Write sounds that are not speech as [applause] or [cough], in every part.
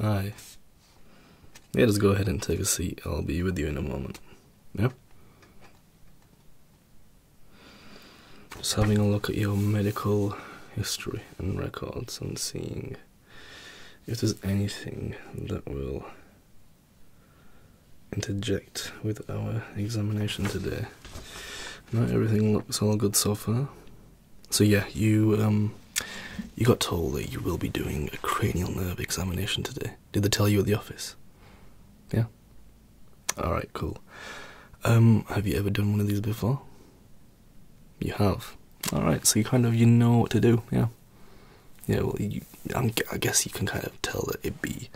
Alright. Yeah, just go ahead and take a seat. I'll be with you in a moment. Yep. Just having a look at your medical history and records and seeing if there's anything that will interject with our examination today. Not everything looks all good so far. So yeah, you um, you got told that you will be doing a cranial nerve examination today. Did they tell you at the office? Yeah. All right, cool. Um, have you ever done one of these before? You have. All right, so you kind of you know what to do, yeah. Yeah, well, you, i I guess you can kind of tell that it'd be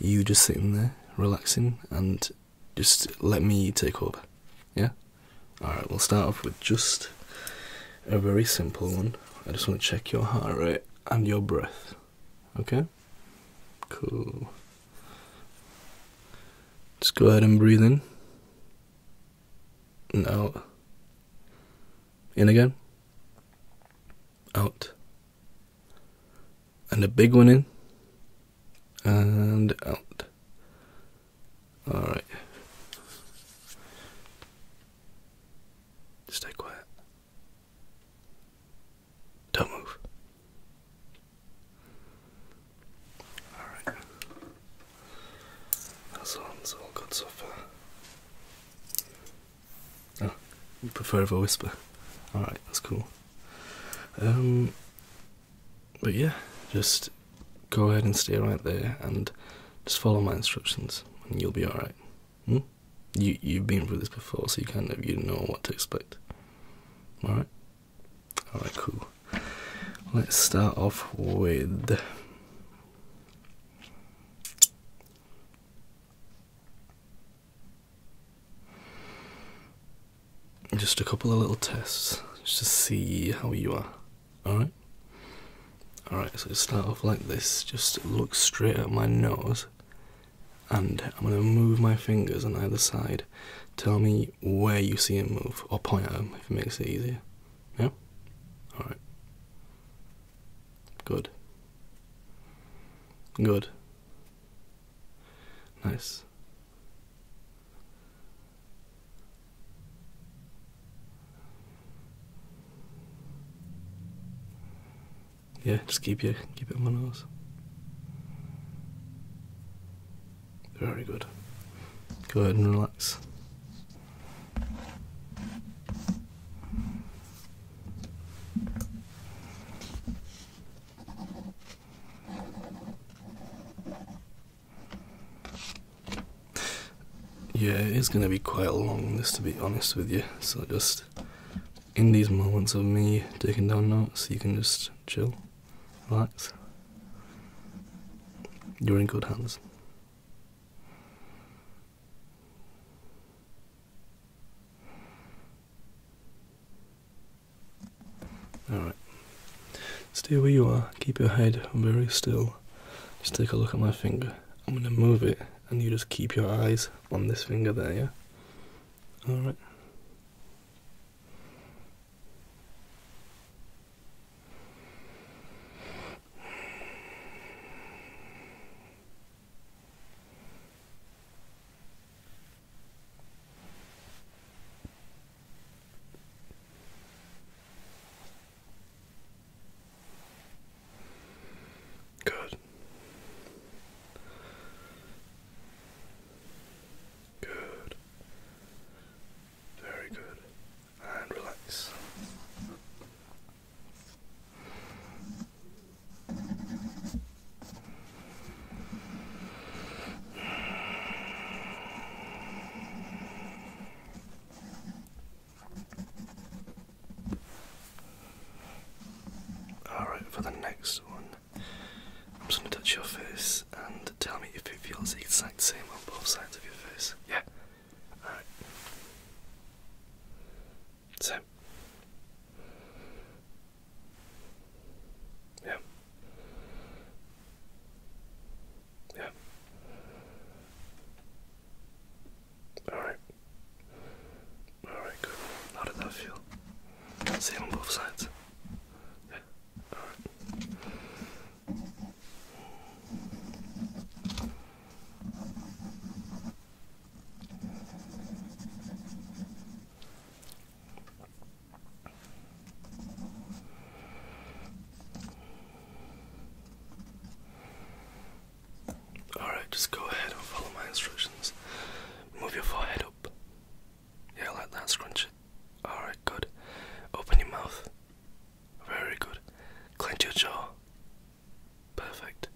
you just sitting there relaxing and just let me take over. Yeah? Alright, we'll start off with just a very simple one. I just want to check your heart rate and your breath. Okay? Cool. Just go ahead and breathe in and out. In again. Out. And a big one in and out. All right. Stay quiet. Don't move. All right. That's on. all good so far. Oh, you prefer if whisper. All right, that's cool. Um, but yeah, just go ahead and stay right there and just follow my instructions and you'll be alright. Hmm? You, you've been through this before, so you kind of you know what to expect. Alright? Alright, cool. Let's start off with just a couple of little tests just to see how you are. Alright? Alright, so start off like this. Just look straight at my nose, and I'm going to move my fingers on either side. Tell me where you see him move, or point at him if it makes it easier. Yeah? Alright. Good. Good. Nice. Yeah, just keep you keep it on my nose. Very good. Go ahead and relax. Yeah, it is going to be quite long, this to be honest with you. So, just in these moments of me taking down notes, you can just chill, relax. You're in good hands. Alright. Stay where you are, keep your head very still. Just take a look at my finger. I'm gonna move it and you just keep your eyes on this finger there, yeah? Alright. Good. Good. Very good. And relax. Alright, for the next one, I'm just going to touch your face and tell me if it feels exactly the same on both sides of your face. Yeah? Alright. Same. Yeah. Yeah. Alright. Alright, good. How did that feel? Same on both sides. Yeah. Alright. Alright, just go ahead and follow my instructions. Move your forehead up. Yeah, like that, scrunch it. Alright, good. Open your mouth. Very good. Clench your jaw. Perfect.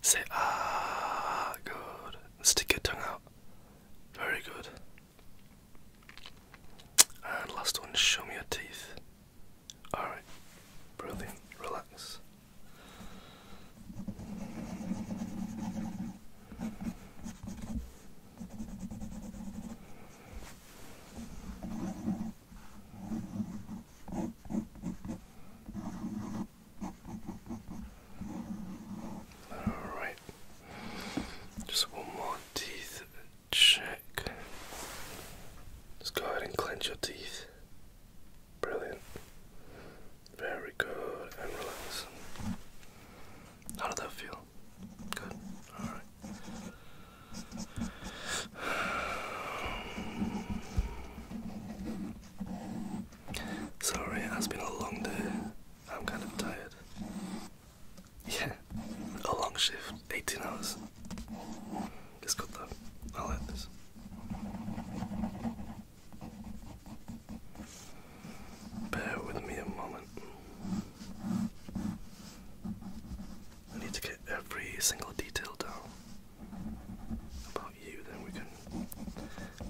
Say ah, good. Stick your tongue out. Very good. And last one, show me your teeth. Alright, brilliant, relax. All right, just one more teeth check. Just go ahead and clench your teeth. Brilliant. Very good. And relax. How did that feel? Good. Alright. Sorry, it has been a long day. I'm kind of tired. [laughs] Yeah, a long shift, 18 hours. It's good though, I like this. Bear with me a moment. I need to get every single detail down about you, then we can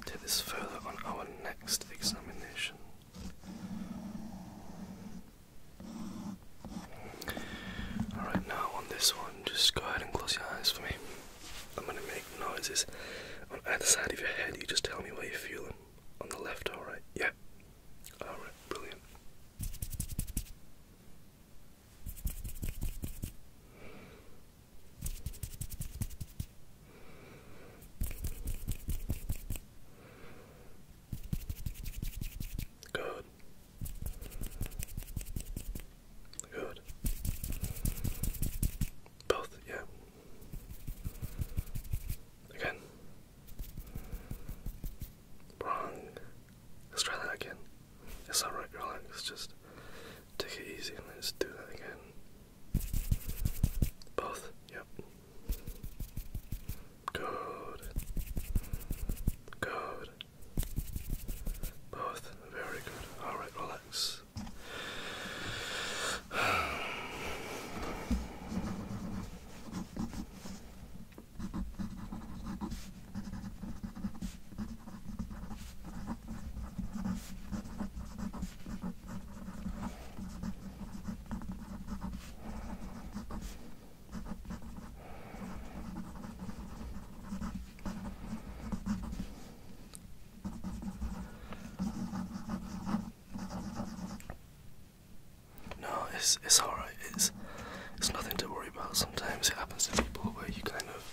take this further on our next examination. Alright, now on this one, just go ahead and close your eyes for me. I'm gonna make noises on either side of your head. You just tell me what you're feeling. On the left, alright? Yeah. Alright, brilliant. Good. Good. Both, yeah. Again. Wrong. Let's try that again. It's alright, relax. Just take it easy and let's do that again. Both, yep. Good. Good. Both very good. All right, relax. No, it's it's all right. It's it's nothing to worry about. Sometimes it happens to people where you kind of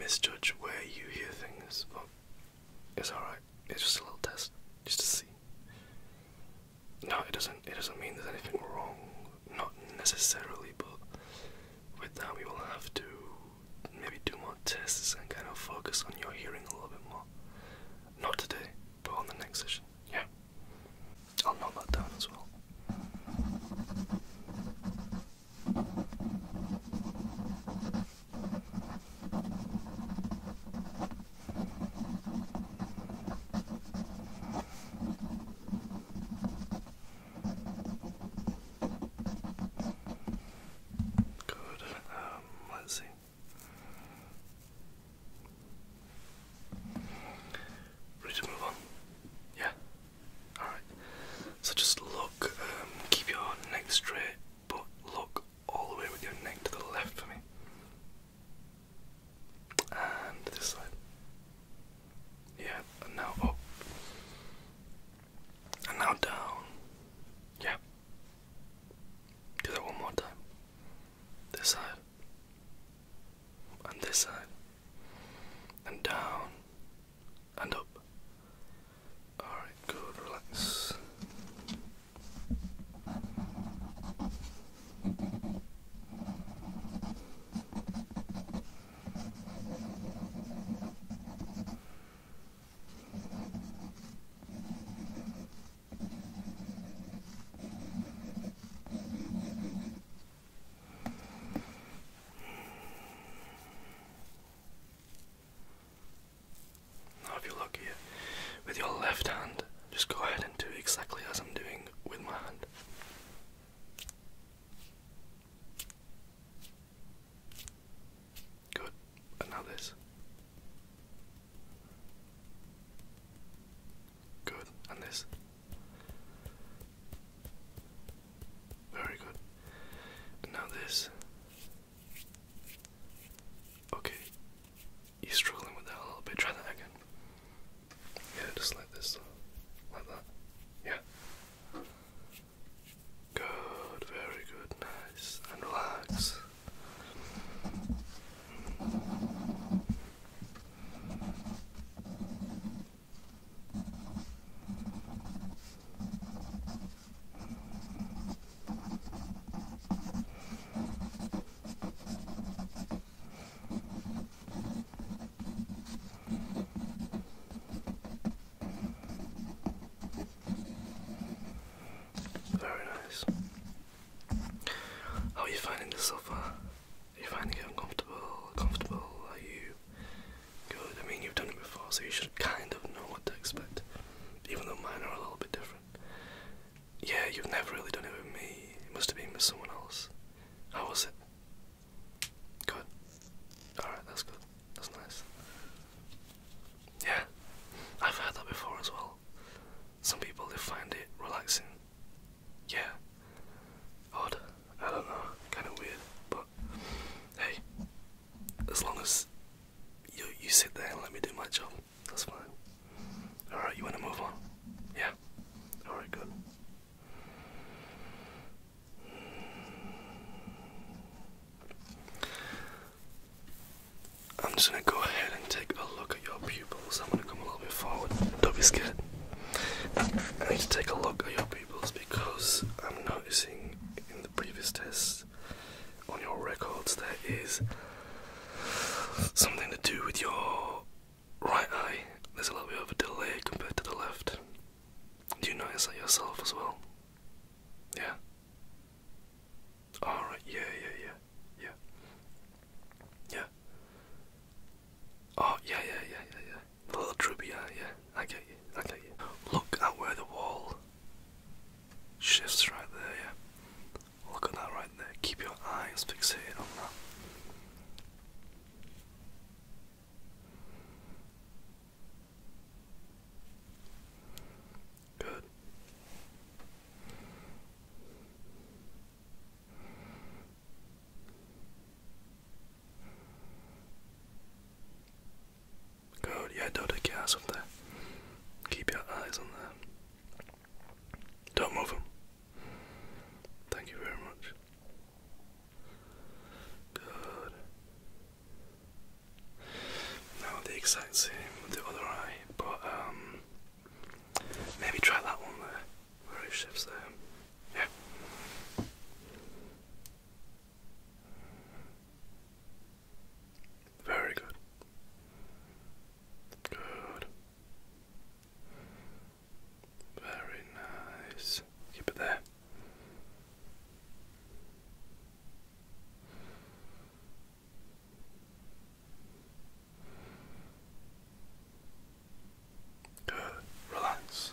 misjudge where you hear things, but it's all right. It's just a little test, just to see. No, it doesn't. It doesn't mean there's anything wrong. Not necessarily, but with that we will have to maybe do more tests and kind of focus on your hearing a little bit more. Not today, but on the next session. Yeah. I'll note that down as well. Good. Um, let's see. Ready to move on? Yeah. All right. So just look. Um, keep your neck straight, but look all the way with your neck to the left for me. And this side. Yeah, and now up. And now down. Yeah. Do that one more time. This side. And this side. And down. And up. Alright, good, relax. Now, if you look here with your left hand, just go ahead and do exactly as I'm doing with my hand. Good. And now this. Good. And this. Very good. now this. Okay you're struggling with that a little bit, try that again. Yeah, just like this, like that. Yeah. Good, very good, nice, and relax. Very nice. How are you finding this sofa? Are you finding it uncomfortable? Comfortable? Are you good? I mean, you've done it before, so you should kind of know what to expect, even though mine are a little bit different. Yeah, you've never really done it with me. It must have been with someone else. How was it? Good. Alright, that's good. That's nice. Yeah, I've heard that before as well. Some people they find it relaxing. Yeah. Odd. I don't know. Kind of weird. But hey, as long as you you sit there and let me do my job, that's fine. Alright, you wanna move on? Yeah. Alright, good. I'm just gonna go ahead and take a look at your pupils. I'm gonna come a little bit forward. Don't be scared. I need to take a look at your pupils because I'm noticing in the previous test on your records there is something to do with your right eye, there's a little bit of a delay compared to the left. Do you notice that yourself as well? Yeah? Alright, yeah, yeah, yeah, yeah. Yeah. Oh, yeah, yeah, yeah, yeah, yeah. The little droopy eye, yeah. I get you, I get you. Look at where the wall shifts right there, yeah. Look at that right there. Keep your eyes fixated on that. Good. Good, yeah, don't take your Keep your eyes on there. Don't move him. Thank you very much. Good. Now the exact same with the other eye, but um, maybe try that one there, where it shifts there. Yeah. Very good. Good. Very nice. Keep it there. Good. Relax.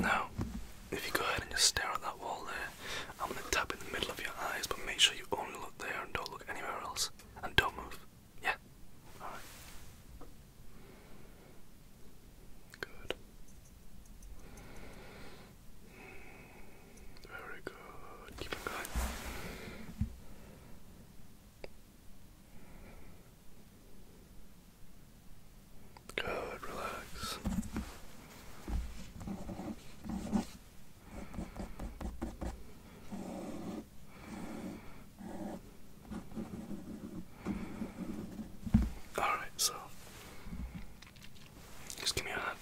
Now, if you go ahead and just stare at that wall there, I'm gonna tap in the middle of your eyes, but make sure you only look there and don't look anywhere else. And don't move. Yeah? Alright. Good. Very good. Keep on going. Good, relax. Alright, so just give me your hand.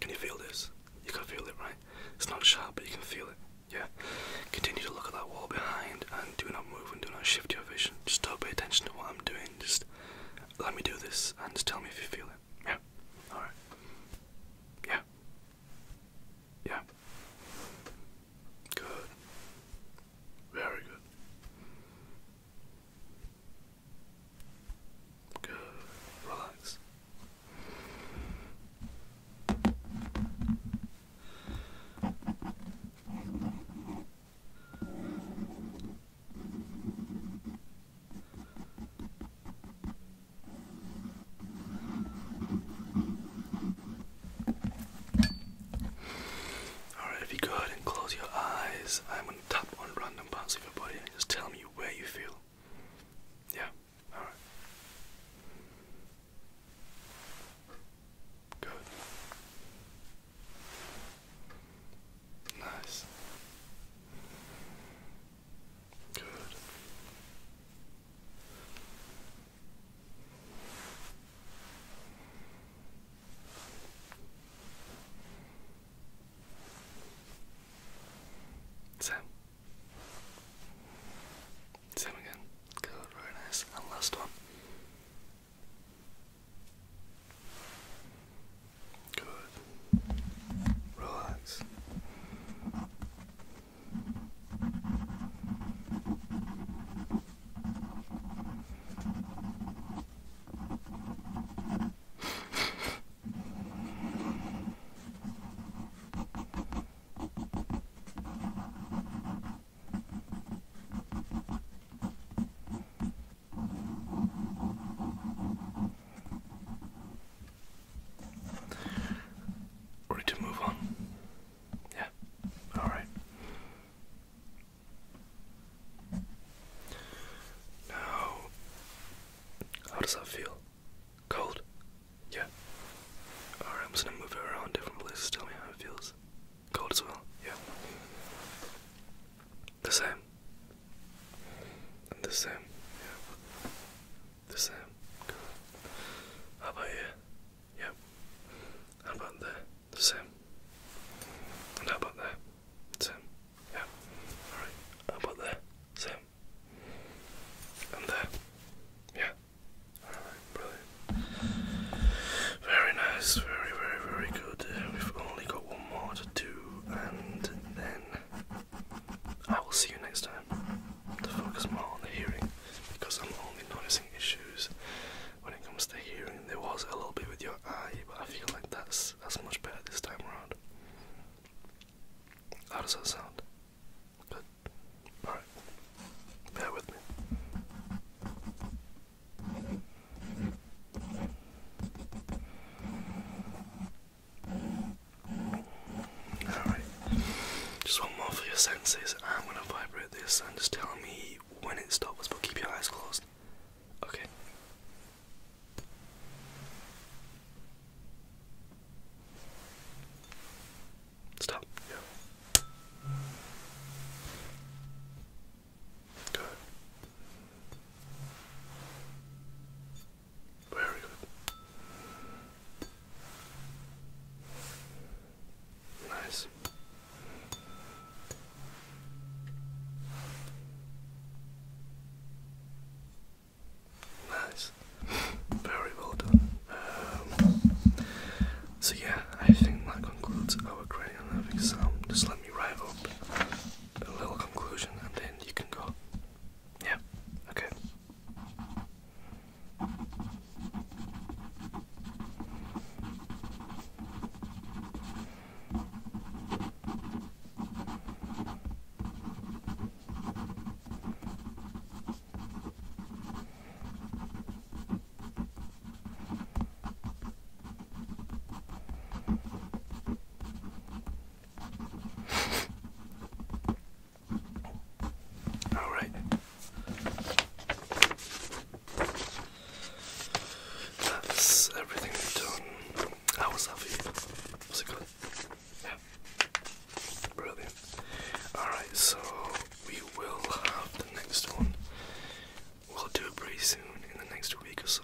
Can you feel this? You can feel it, right? It's not sharp, but you can feel it. Yeah. Continue to look at that wall behind and do not move and do not shift your vision. Just don't pay attention to what I'm doing. Just let me do this and just tell me if you feel it. Yeah. Alright. Yeah. Yeah. Good. Very good. Good. Relax. Alright, if you go ahead and close your eyes, I'm gonna tap on random parts of your body and just tell me where you feel. Yeah, alright. Good. Nice. Good. Same. Same again. Good, very nice. And last one. Good. Relax. Ready to move on? Yeah. All right. Now, how does that feel? Cold? Yeah. Alright, I'm gonna move it around different places. Tell me how it feels. Cold as well? Yeah. The same. the same. Yeah. The same. How about you? Yeah. How about there? The same. And how about there? Same. Yeah. Alright. How about there? Same. And there. Yeah. Alright, brilliant. Very nice, very, very, very good. we've only got one more to do and then I will see you next time to focus more on the hearing because I'm only noticing issues when it comes to hearing. There was a little bit with your eye, but I feel like that's that's much better this time around. How does that sound? Good. Alright. Bear with me. Alright, just one more for your senses. I'm gonna vibrate this and just tell me when it stops, but keep your eyes closed. Okay. Stop. Good. Very good. Nice. Nice. Very well done. Um, so yeah, I think that concludes our cranial nerve exam. Just let me write up a little conclusion and then you can go. Yeah, okay. All right. That's everything done. How was that Was it good? Yeah. Brilliant. Alright, so we will have the next one. We'll do it pretty soon in the next week or so.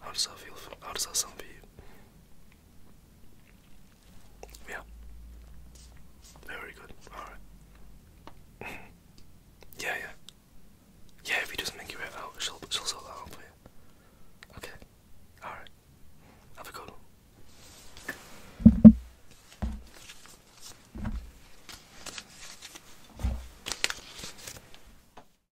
How does that feel? how does that sound to you? Yeah. Very good. All right. [laughs] yeah, yeah. Yeah, if you just make your out, she'll she'll sort that out for you. Okay. All right. Have a good one.